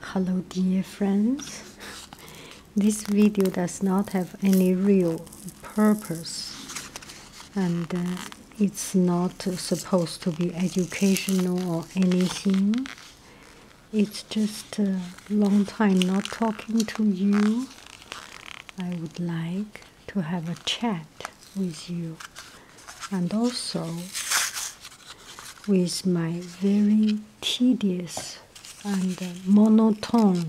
Hello dear friends. This video does not have any real purpose and uh, it's not supposed to be educational or anything. It's just a long time not talking to you. I would like to have a chat with you and also with my very tedious and uh, monotone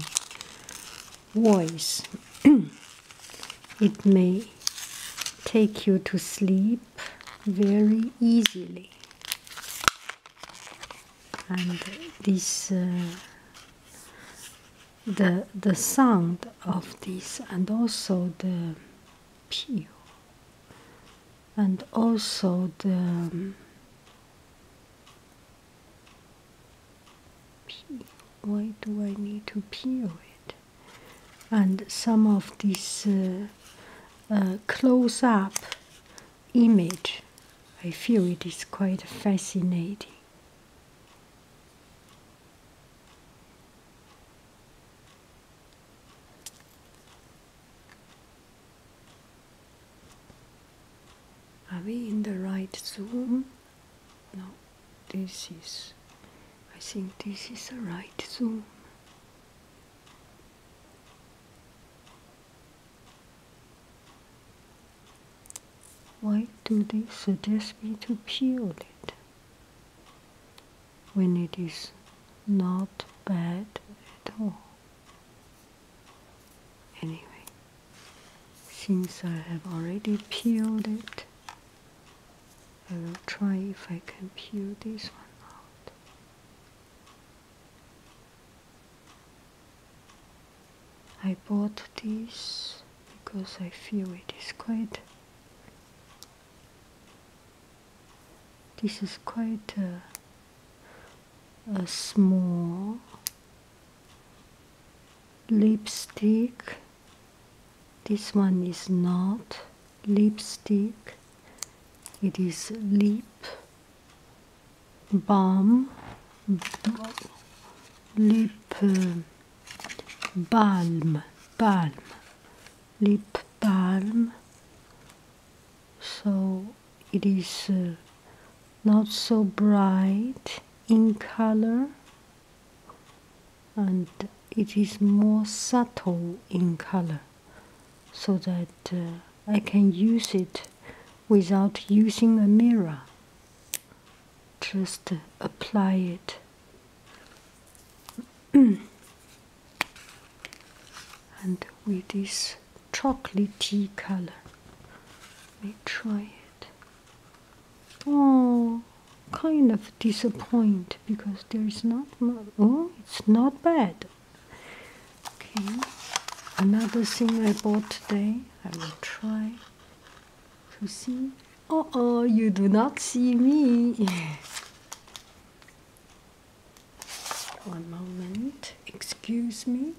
voice. it may take you to sleep very easily. And this, uh, the the sound of this, and also the pew, and also the um, why do I need to peel it? And some of this uh, uh, close-up image, I feel it is quite fascinating. Are we in the right zoom? No, this is, I think this is the right zoom. Why do they suggest me to peel it? when it is not bad at all. Anyway, since I have already peeled it, I will try if I can peel this one. out. I bought this because I feel it is quite this is quite a, a small lipstick. This one is not lipstick, it is lip balm, lip uh, balm, balm, lip balm so it is uh, not so bright in color and it is more subtle in color so that uh, I can use it without using a mirror just uh, apply it and with this chocolatey color. Let me try it. Oh, kind of disappointed because there is not much. Oh, it's not bad. Okay, another thing I bought today. I will try to see. Oh, oh, you do not see me. One moment, excuse me.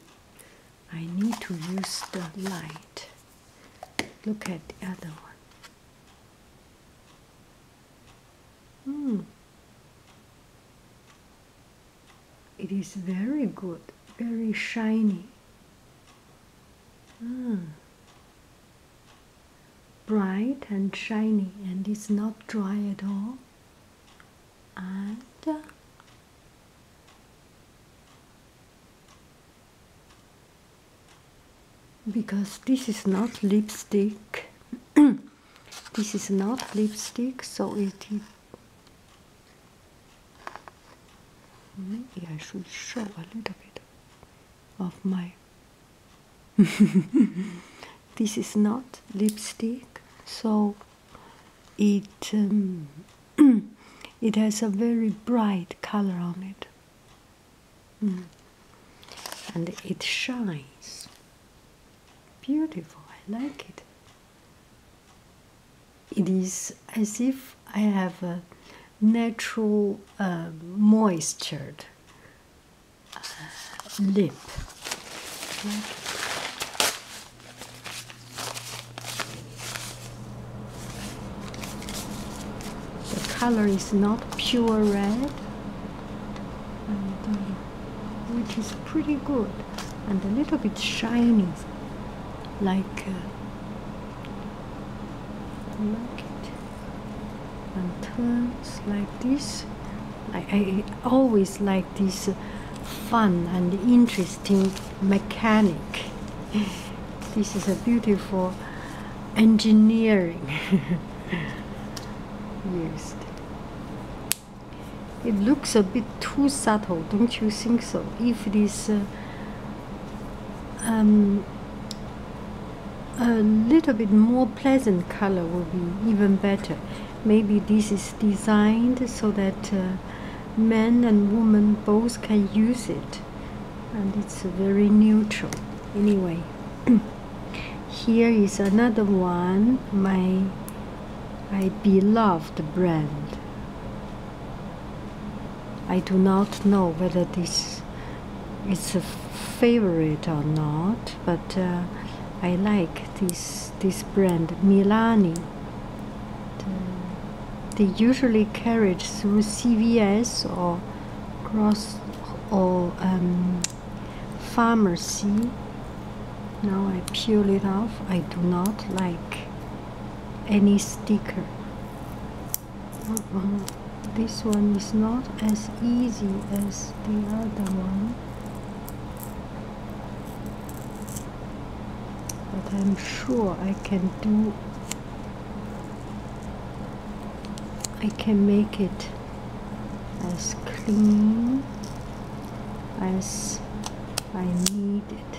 I need to use the light. Look at the other one. Hmm. It is very good, very shiny. Mm bright and shiny and it's not dry at all and uh, because this is not lipstick this is not lipstick so maybe I should show a little bit of my this is not lipstick, so it um, it has a very bright color on it, mm. and it shines. Beautiful, I like it. It is as if I have a natural uh, moisture lip. The color is not pure red, uh, which is pretty good, and a little bit shiny, like. Uh, like it and turns like this. I, I always like this fun and interesting mechanic. This is a beautiful engineering used. It looks a bit too subtle, don't you think so? If it is uh, um, a little bit more pleasant color will be even better maybe this is designed so that uh, men and women both can use it and it's very neutral anyway here is another one my my beloved brand I do not know whether this it's a favorite or not, but uh, I like this this brand Milani. They usually carried through CVS or cross or um, pharmacy. Now I peel it off. I do not like any sticker. this one is not as easy as the other one but I'm sure I can do I can make it as clean as I need it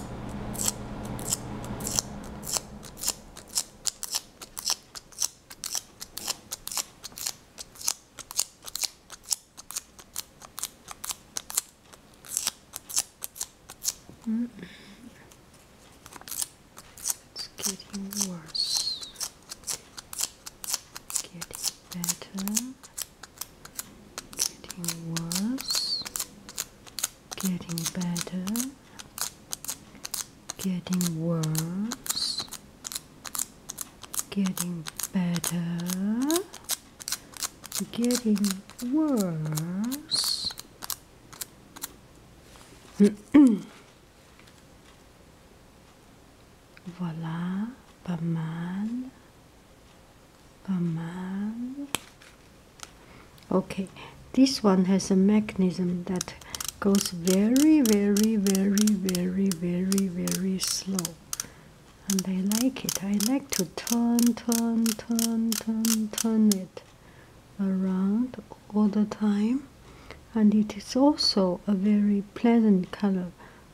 Mm It's getting worse. Getting better getting worse, getting better, getting worse, getting better, getting worse. voilà, pas mal. Okay, this one has a mechanism that goes very, very, very, very, very, very slow. And I like it. I like to turn, turn, turn, turn, turn it around all the time. And it is also a very pleasant color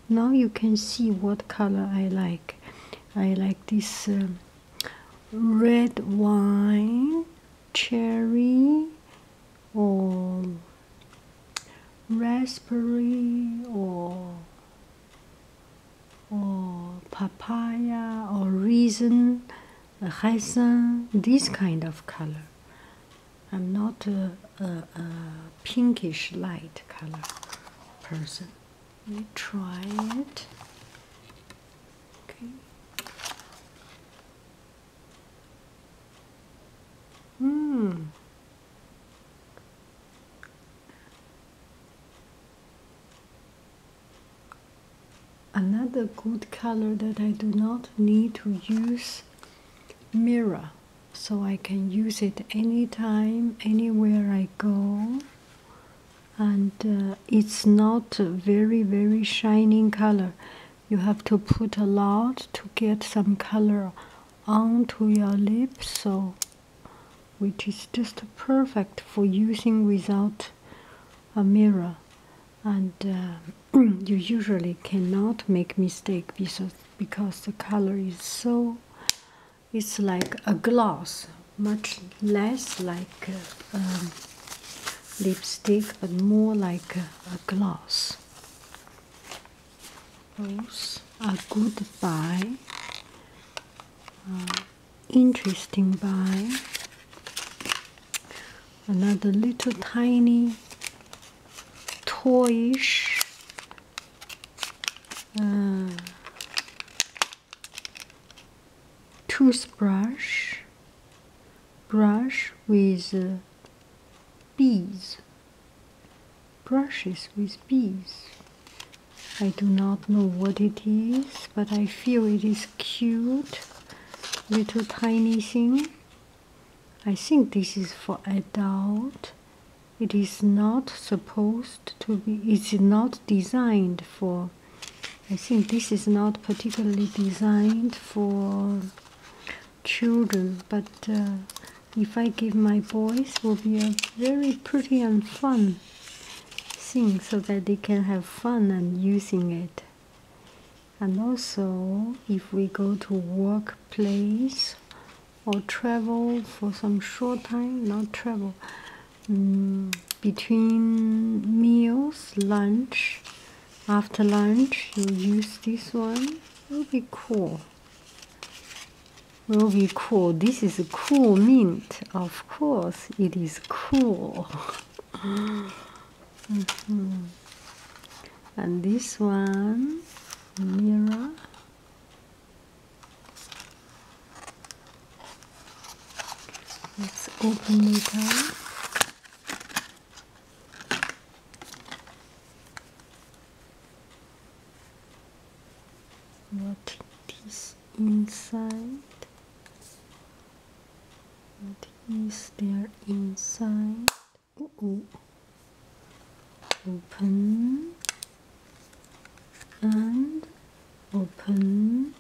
now you can see what color I like. I like this um, red wine, cherry, or raspberry, or or papaya, or raisin, raisin. This kind of color. I'm not a pinkish light color person. Let me try it. Okay. Hmm. Another good color that I do not need to use mirror so I can use it anytime anywhere I go and uh, it's not very very shining color you have to put a lot to get some color onto your lips so which is just perfect for using without a mirror and uh, you usually cannot make mistake because because the color is so it's like a gloss, much less like uh, um, lipstick, but more like a, a gloss. Those are good buy, uh, interesting buy. Another little tiny toyish uh, toothbrush brush with uh, bees brushes with bees I do not know what it is but I feel it is cute little tiny thing I think this is for adult it is not supposed to be it's not designed for i think this is not particularly designed for children but uh, if i give my boys will be a very pretty and fun thing so that they can have fun and using it and also if we go to workplace or travel for some short time, not travel, mm, between meals, lunch, after lunch, you use this one. It'll be cool. Will be cool. This is a cool mint. Of course, it is cool. Mm-hmm. And this one, mirror. Let's open it up. What is inside? What is there inside? Open and open.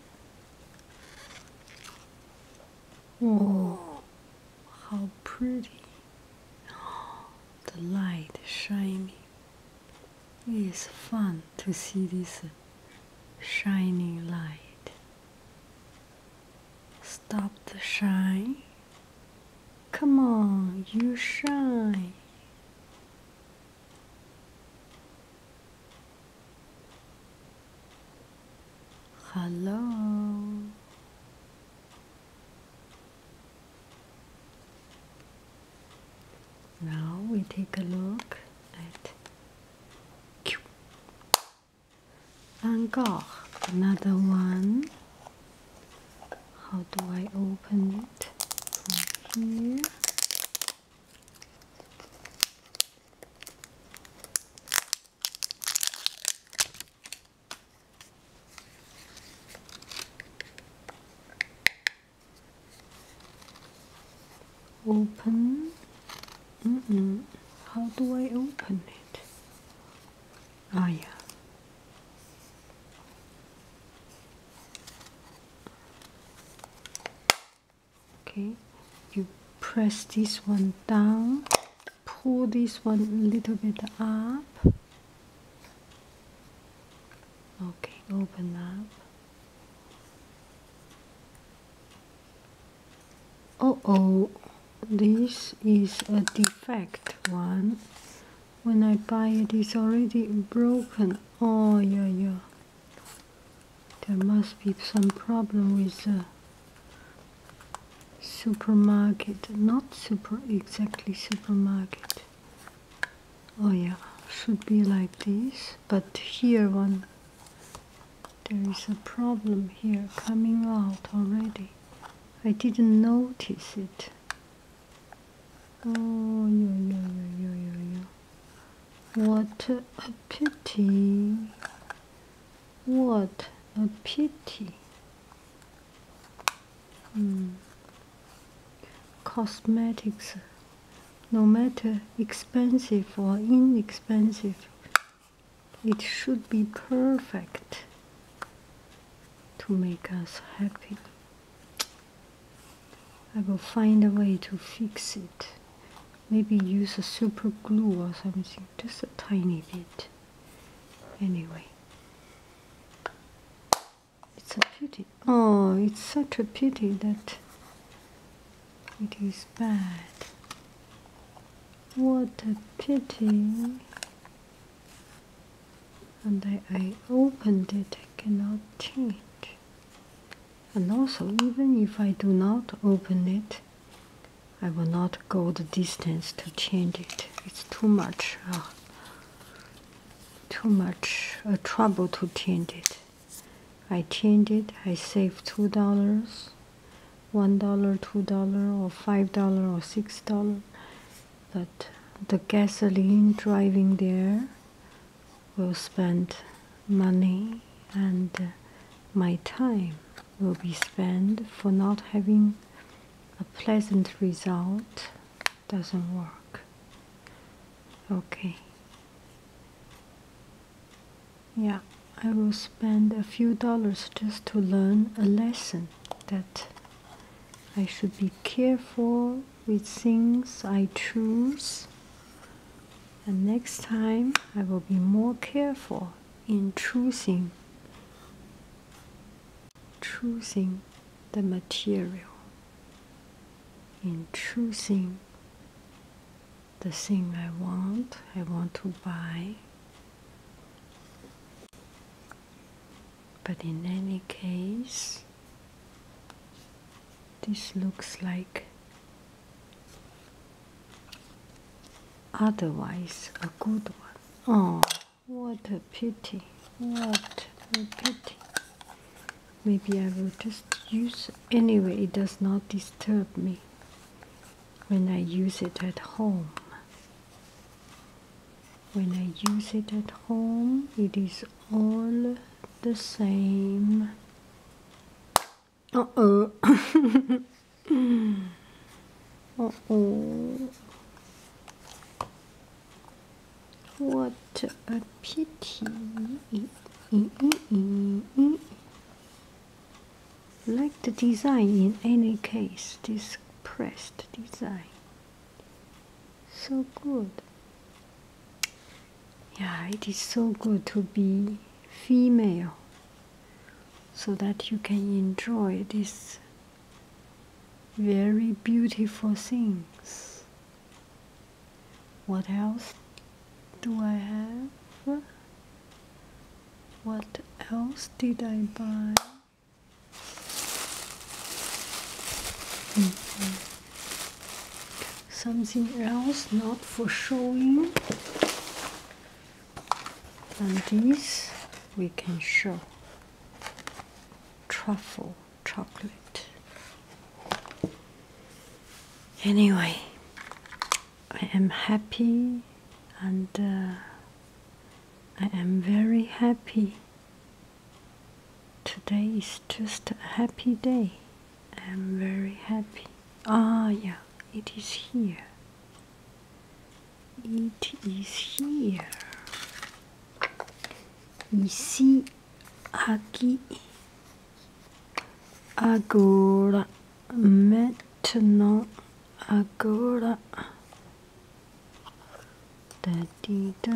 Oh, how pretty! The light shining. It's fun to see this shining light. Stop the shine. Come on, you shine. Hello. Now we take a look at Q. Van another one how do I open it Open. Mm -mm. How do I open it? Ah, yeah okay you press this one down pull this one a little bit up okay open up oh oh this is a defect one when I buy it, it is already broken. Oh yeah yeah. There must be some problem with the supermarket. Not super exactly supermarket. Oh yeah, should be like this. But here one there is a problem here coming out already. I didn't notice it. Oh, yo, yo, yo, yo, yo, What a pity. What a pity. Mm. Cosmetics, no matter expensive or inexpensive, it should be perfect to make us happy. I will find a way to fix it. Maybe use a super glue or something, just a tiny bit. Anyway, it's a pity. Oh, it's such a pity that it is bad. What a pity and I, I opened it I cannot change it. and also even if I do not open it I will not go the distance to change it it's too much uh, too much uh, trouble to change it I change it I save two dollars one dollar two dollar or five dollar or six dollar but the gasoline driving there will spend money and my time will be spent for not having a pleasant result doesn't work okay yeah i will spend a few dollars just to learn a lesson that i should be careful with things I choose. And next time I will be more careful in choosing choosing the material in choosing the thing I want, I want to buy but in any case, this looks like otherwise a good one. Oh, what a pity! What a pity! Maybe I will just use anyway. It does not disturb me when I use it at home when I use it at home it is all the same uh-oh uh-oh what a pity like the design in any case this pressed design so good. Yeah, it is so good to be female so that you can enjoy these very beautiful things. What else do I have? What else did I buy? Mm-hmm. Something else, not for showing, and this we can show truffle chocolate. Anyway, I am happy and uh, I am very happy Today is just a happy day. I'm very happy. Ah, yeah, it is here. It is here. Ici, aqui, agora, maintenant, agora. Da -dee da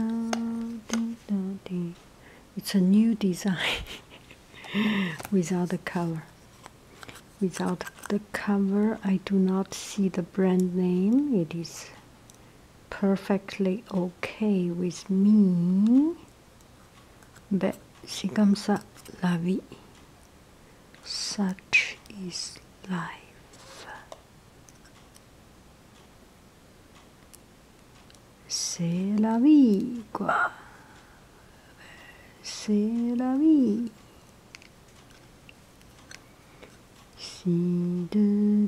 da -dee. It's a new design without the cover. Without the cover, I do not see the brand name. It is perfectly okay with me. But c'est comme ça la vie. Such is life. C'est la vie, quoi. C'est la vie. Si de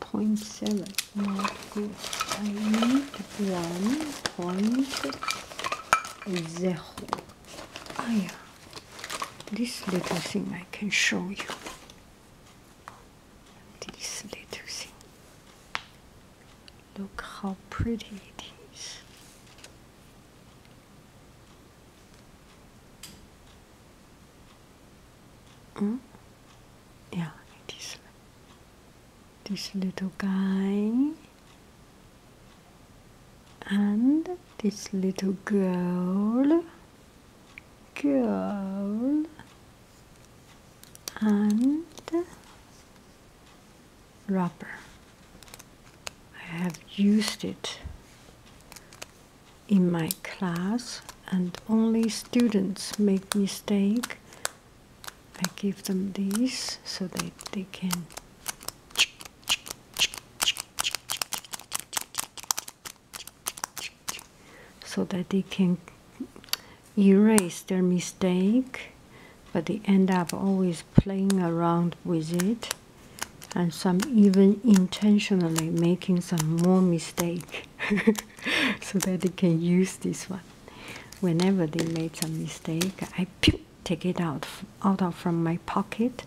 0.7 not good I need yeah this little thing I can show you this little thing look how pretty it is Mm? Yeah, this this little guy and this little girl, girl and rubber. I have used it in my class and only students make mistake i give them these so that they can so that they can erase their mistake but they end up always playing around with it and some even intentionally making some more mistake. so that they can use this one. Whenever they make some mistake, I pew, take it out out of from my pocket.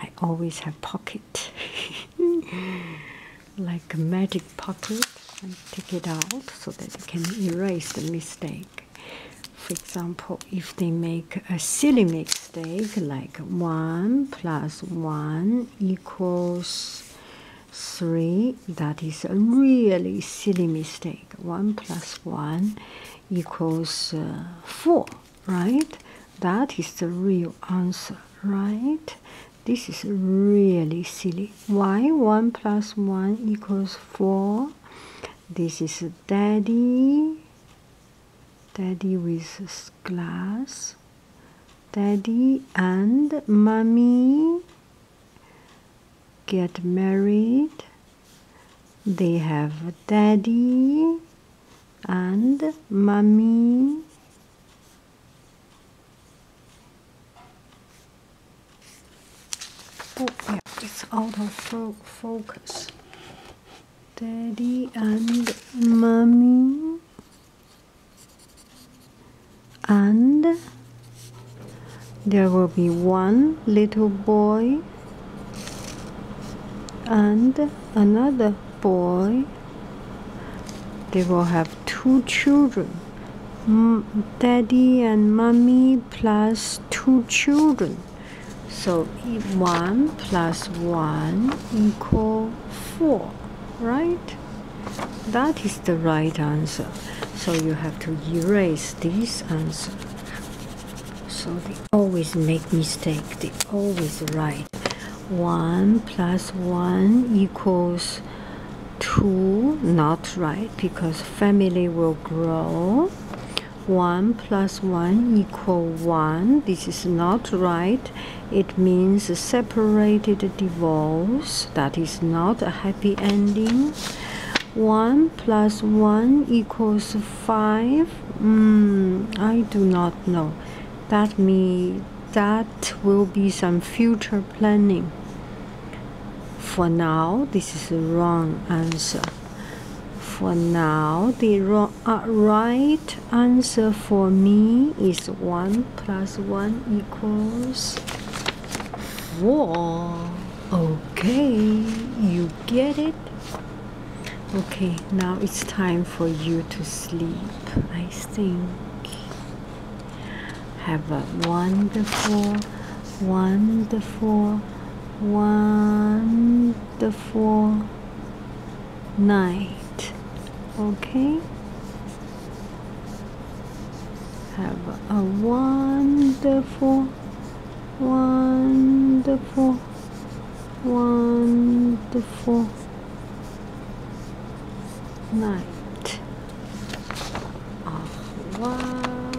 I always have pocket like a magic pocket. and take it out so that they can erase the mistake. For example, if they make a silly mistake like 1 plus plus 1 equals 3. That is a really silly mistake. 1 plus 1 equals uh, 4, right? That is the real answer, right? This is really silly. Why 1 plus 1 equals 4? This is daddy, daddy with glass. Daddy and Mummy get married. They have daddy and mummy. Oh, yeah, it's out of focus. Daddy and mummy and there will be one little boy and another boy they will have two children daddy and mommy plus two children so 1 plus 1 equal 4 right? That is the right answer. So you have to erase this answer. So they always make mistake. They always write 1 plus 1 equals 2. Not right because family will grow. 1 plus 1 equal 1. This is not right. It means separated divorce that is not a happy ending. 1 plus 1 equals 5. Mm, I do not know. That means that will be some future planning. For now, this is the wrong answer. For now, the wrong, uh, right right answer for me is 1 plus 1 equals 4. Okay, you get it? Okay, now it's time for you to sleep, I think. Have a wonderful, wonderful, wonderful night. Okay? Have a wonderful, wonderful, wonderful night. Au revoir.